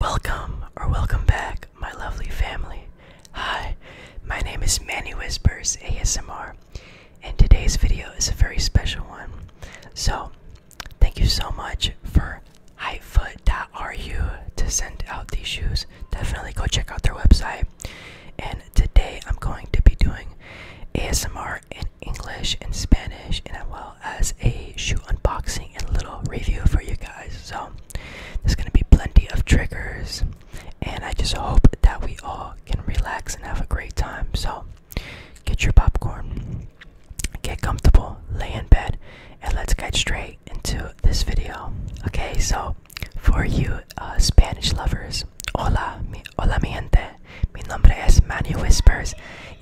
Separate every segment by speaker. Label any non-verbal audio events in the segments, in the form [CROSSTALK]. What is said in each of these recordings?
Speaker 1: Welcome or welcome back, my lovely family. Hi, my name is Manny Whispers ASMR, and today's video is a very special one. So, thank you so much for Hypefoot.ru to send out these shoes. Definitely go check out their website. And today I'm going to be doing ASMR in English and Spanish, and I as a shoe unboxing and little review for you guys. So there's gonna be plenty of triggers, and I just hope that we all can relax and have a great time. So get your popcorn, get comfortable, lay in bed, and let's get straight into this video. Okay, so for you uh, Spanish lovers, hola, mi, hola mi gente. Mi nombre es Manny Whispers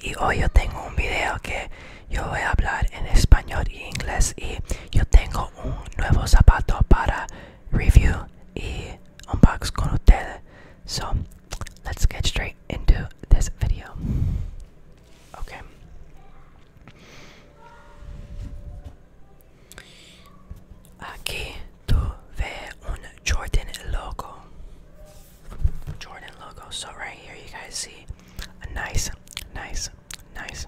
Speaker 1: y hoy yo tengo un video que Yo voy a hablar en español y inglés y yo tengo un nuevo zapato para review y un unbox con ustedes. So let's get straight into this video. Okay. Aquí tuve un Jordan logo. Jordan logo. So right here you guys see a nice, nice, nice,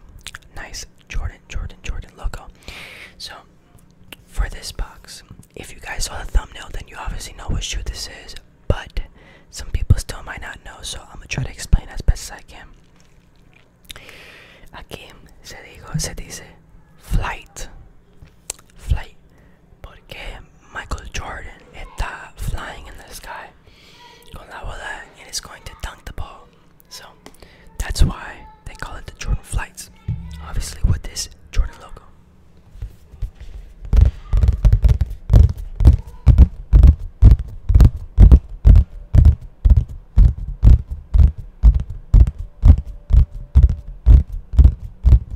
Speaker 1: nice Jordan, Jordan, Jordan logo. So for this box, if you guys saw the thumbnail, then you obviously know what shoe this is. But some people still might not know, so I'm gonna try to explain as best as I can. A Aquí se digo, se dice flight, flight, ¿Por Michael Jordan está flying in the sky con la bola and is going to dunk the ball? So that's why they call it the Jordan Flights. Obviously, with this Jordan logo.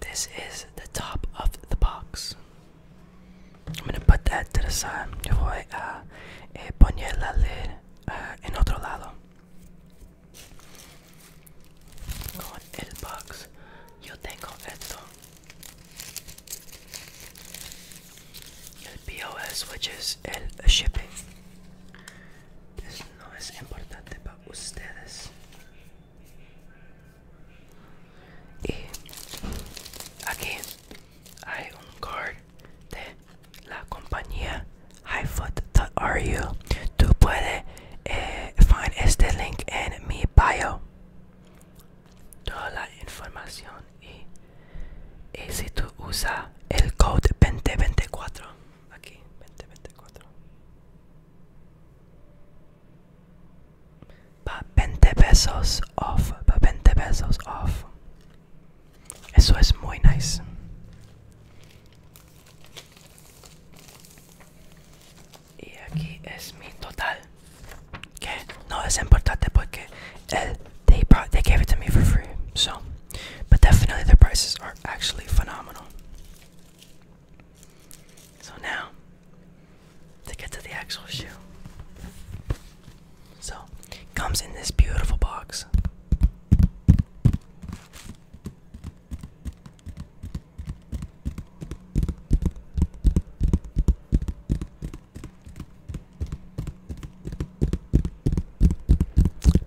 Speaker 1: this is the top of the box. I'm gonna put that to the side. Yo voy a eh, lid uh, eh, en otro lado. Con el box, yo tengo esto. El POS, which is el shipping. Eso no es importante para ustedes. Y aquí hay un card de la compañía you? Tú puedes eh, find este link en mi bio. Toda la información y, y si tú usas el code 2024 aquí 2024 But 20 pesos off. Pa 20 pesos off. Eso es muy nice. Y aquí es mi total. Que no es importante porque they, gave it to me for free. So, but definitely their prices are actually phenomenal. So now, to get to the actual shoe. So, it comes in this beautiful box.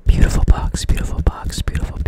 Speaker 1: Beautiful box, beautiful box, beautiful,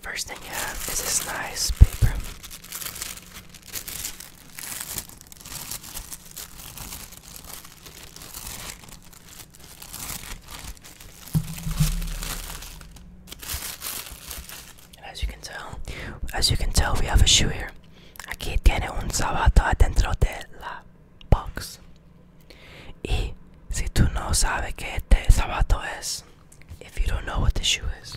Speaker 1: First thing you have is this nice paper. And as you can tell, as you can tell, we have a shoe here. Aquí tiene un zapato dentro de la box. Y si tú no sabes qué este zapato es, if you don't know what the shoe is.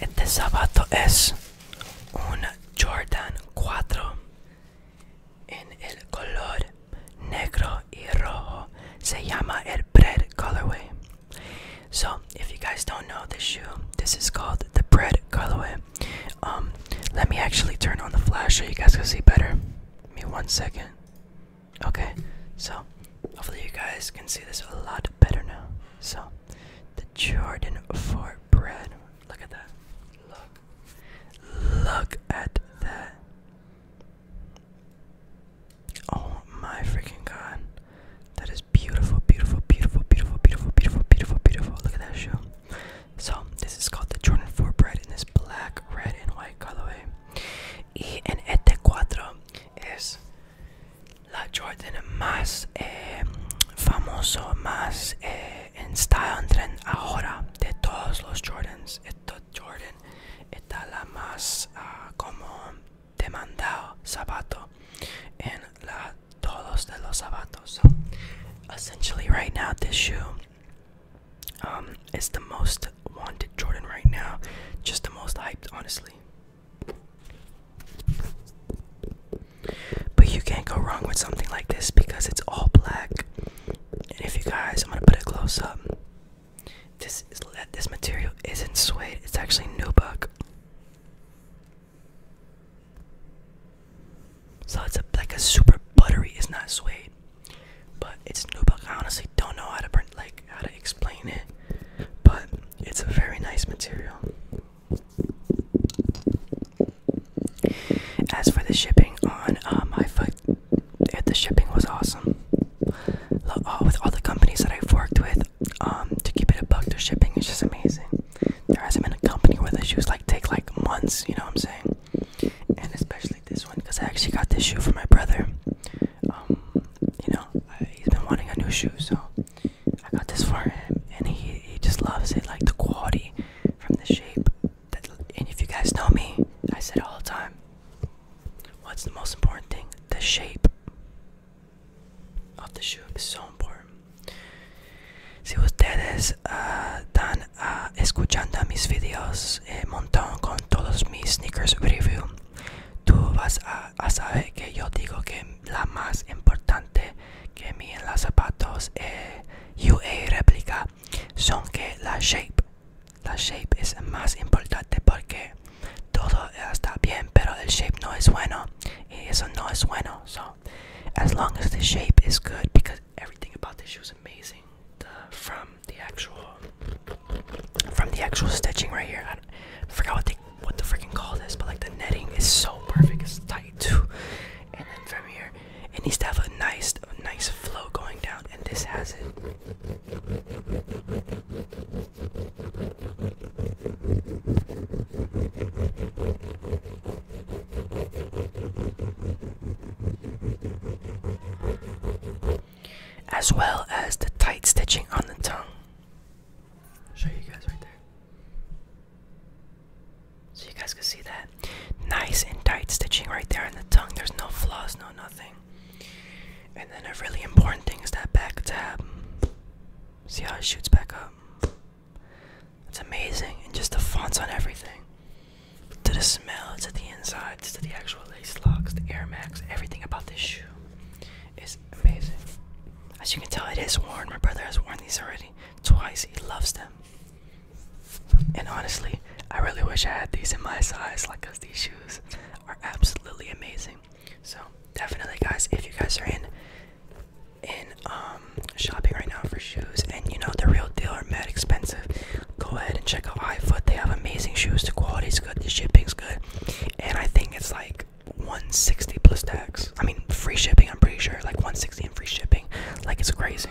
Speaker 1: Este zapato es un Jordan cuatro en el color negro y rojo. Se llama el bread colorway. So, if you guys don't know this shoe, this is called the bread colorway. Um, let me actually turn on the flash so you guys can see better. Give me one second. Okay, so hopefully you guys can see this a lot better now. So, the Jordan for bread. Look at that. Look. Look at that. Oh my freaking god. That is beautiful, beautiful, beautiful, beautiful, beautiful, beautiful, beautiful, beautiful. Look at that shoe. So this is called the Jordan 4 bread in this black, red, and white colorway. E en Ete cuatro is la Jordan más eh, famoso, más eh, en style and trend ahora de todos los Jordans. Esta Jordan está la más ah, como demandado zapato en la todos de los zapatos. So essentially right now this shoe um, it's the most wanted Jordan right now, just the most hyped, honestly. But you can't go wrong with something like this because it's all black. And if you guys, I'm gonna put a close up. This is this material isn't suede; it's actually nubuck. So it's like a super buttery. It's not suede, but it's new nubuck. I honestly don't know how to like how to explain it, but it's a very nice material. As for the shipping on uh, my foot, the shipping was awesome. Uh, with all the companies that I've worked with, um, to keep it a buck, their shipping is just amazing. There hasn't been a company where the shoes like take like months. You know what I'm saying? and especially this one because I actually got this shoe for my brother. Um, you know, he's been wanting a new shoe, so I got this for him, and he he just loves it, like the quality from the shape. and if you guys know me, I said all the time, what's the most important thing? The shape of the shoe is so important. Si ustedes están ah, ah, escuchando mis videos eh, montón con todos mis sneakers review, tú vas a, saber que yo digo que la más importante que mi en los zapatos eh, UA réplica son que la shape la shape es más importante porque todo está bien pero el shape no es bueno y eso no es bueno so, as long as the shape is good because everything about this shoe is amazing from the actual from the actual stitching right here I, I forgot what they what the freaking call this but like the netting is so perfect it's tight too and then from here it needs to have a nice a nice flow going down and this has it as well as the tight stitching on the tongue. show you guys right there. So you guys can see that nice and tight stitching right there in the tongue. There's no flaws, no nothing. And then a really important thing is that back tab. See how it shoots back up. It's amazing, and just the fonts on everything. To the smell, to the insides, to the actual lace locks, the Air Max, everything about this shoe is amazing. As you can tell, it is worn. My brother has worn these already twice. He loves them. And honestly, I really wish I had these in my size, like, cause these shoes are absolutely amazing. So definitely, guys, if you guys are in in um shopping right now for shoes and you know the real deal are mad expensive go ahead and check out iFoot they have amazing shoes the quality's good the shipping's good and I think it's like 160 plus tax I mean free shipping I'm pretty sure like 160 and free shipping like it's crazy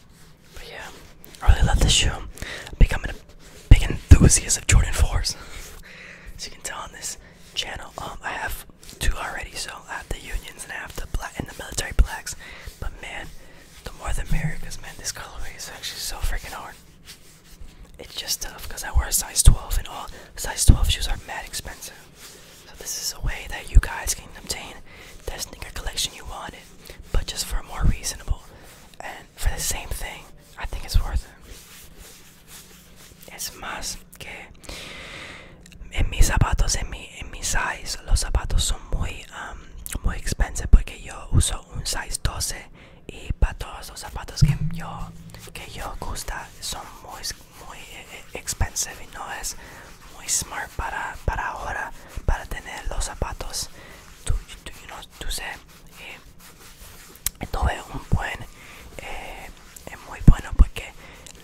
Speaker 1: But yeah, I really love this shoe. I'm becoming a big enthusiast of Jordan 4s. [LAUGHS] As you can tell on this channel, um, I have two already. So I have the Unions and I have the black and the military blacks. But man, the more the merrier, man, this colorway is actually so freaking hard. It's just tough because I wear a size 12 and all size 12 shoes are mad expensive. So this is a way that you guys can obtain that sneaker collection you want but just for more reasonable and for the same thing, I think it's worth it. Es más que en mis zapatos, en mi, en mi size, los zapatos son muy, um, muy expensive porque yo uso un size 12 y para todos los zapatos que yo, que yo gusta son muy, muy eh, eh, expensive y no es muy smart para, para ahora, para tener los zapatos. Tú, tú sé, eh, tuve un buen, eh, eh, muy bueno porque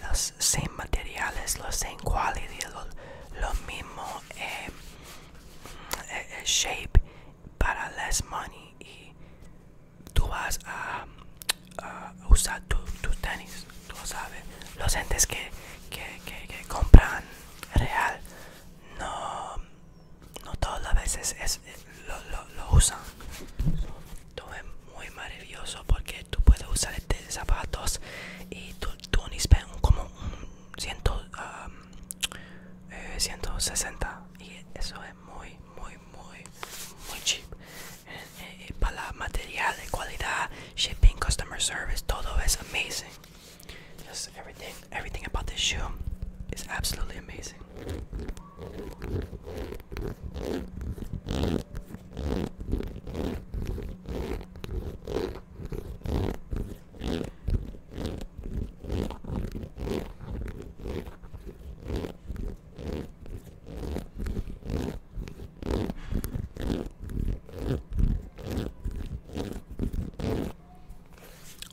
Speaker 1: los same materiales, los same quality, lo, mismo shape para less money y tú vas a, usar tus tu tenis pues, tú lo sabes, los entes que, compran real, no, todas las veces es, lo, usan. es muy maravilloso porque tú puedes usar estos zapatos y tú, tú como un 160 eh, y eso es muy, muy, muy, muy cheap. Eh, eh, para material de calidad shipping, customer service, todo is amazing. Just everything, everything about this shoe is absolutely amazing.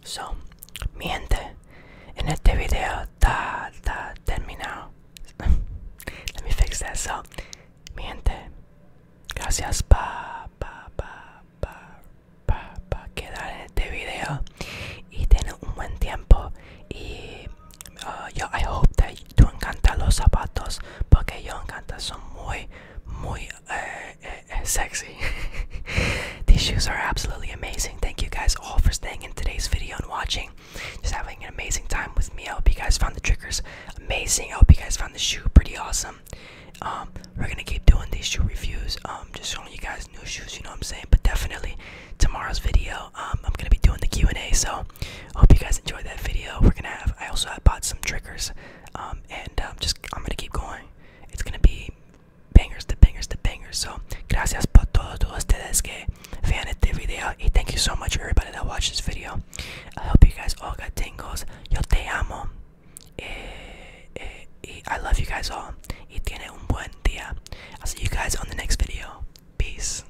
Speaker 1: So, mi gente, en este video está, terminado. Let me fix that. So, mi gente, gracias pa, pa, pa, pa, pa, pa quedar en este video y tener un buen tiempo. Y uh, yo, I hope that Eh, eh, eh, [LAUGHS] these shoes are absolutely amazing thank you guys all for staying in today's video and watching just having an amazing time with me i hope you guys found the triggers amazing i hope you guys found the shoe pretty awesome um we're gonna keep doing these shoe reviews um just showing you guys new shoes you know what i'm saying but definitely tomorrow's video um i'm gonna be doing the Q&A. so hope you guys enjoyed that video. We're gonna have I also bought some triggers, um, and um, just I'm gonna keep going. It's gonna be bangers the bangers the bangers. So gracias por todos ustedes que vean este video, and thank you so much everybody that watched this video. I hope you guys all got tingles. Yo te amo. Eh, eh I love you guys all. Y tiene un buen día. I'll see you guys on the next video. Peace.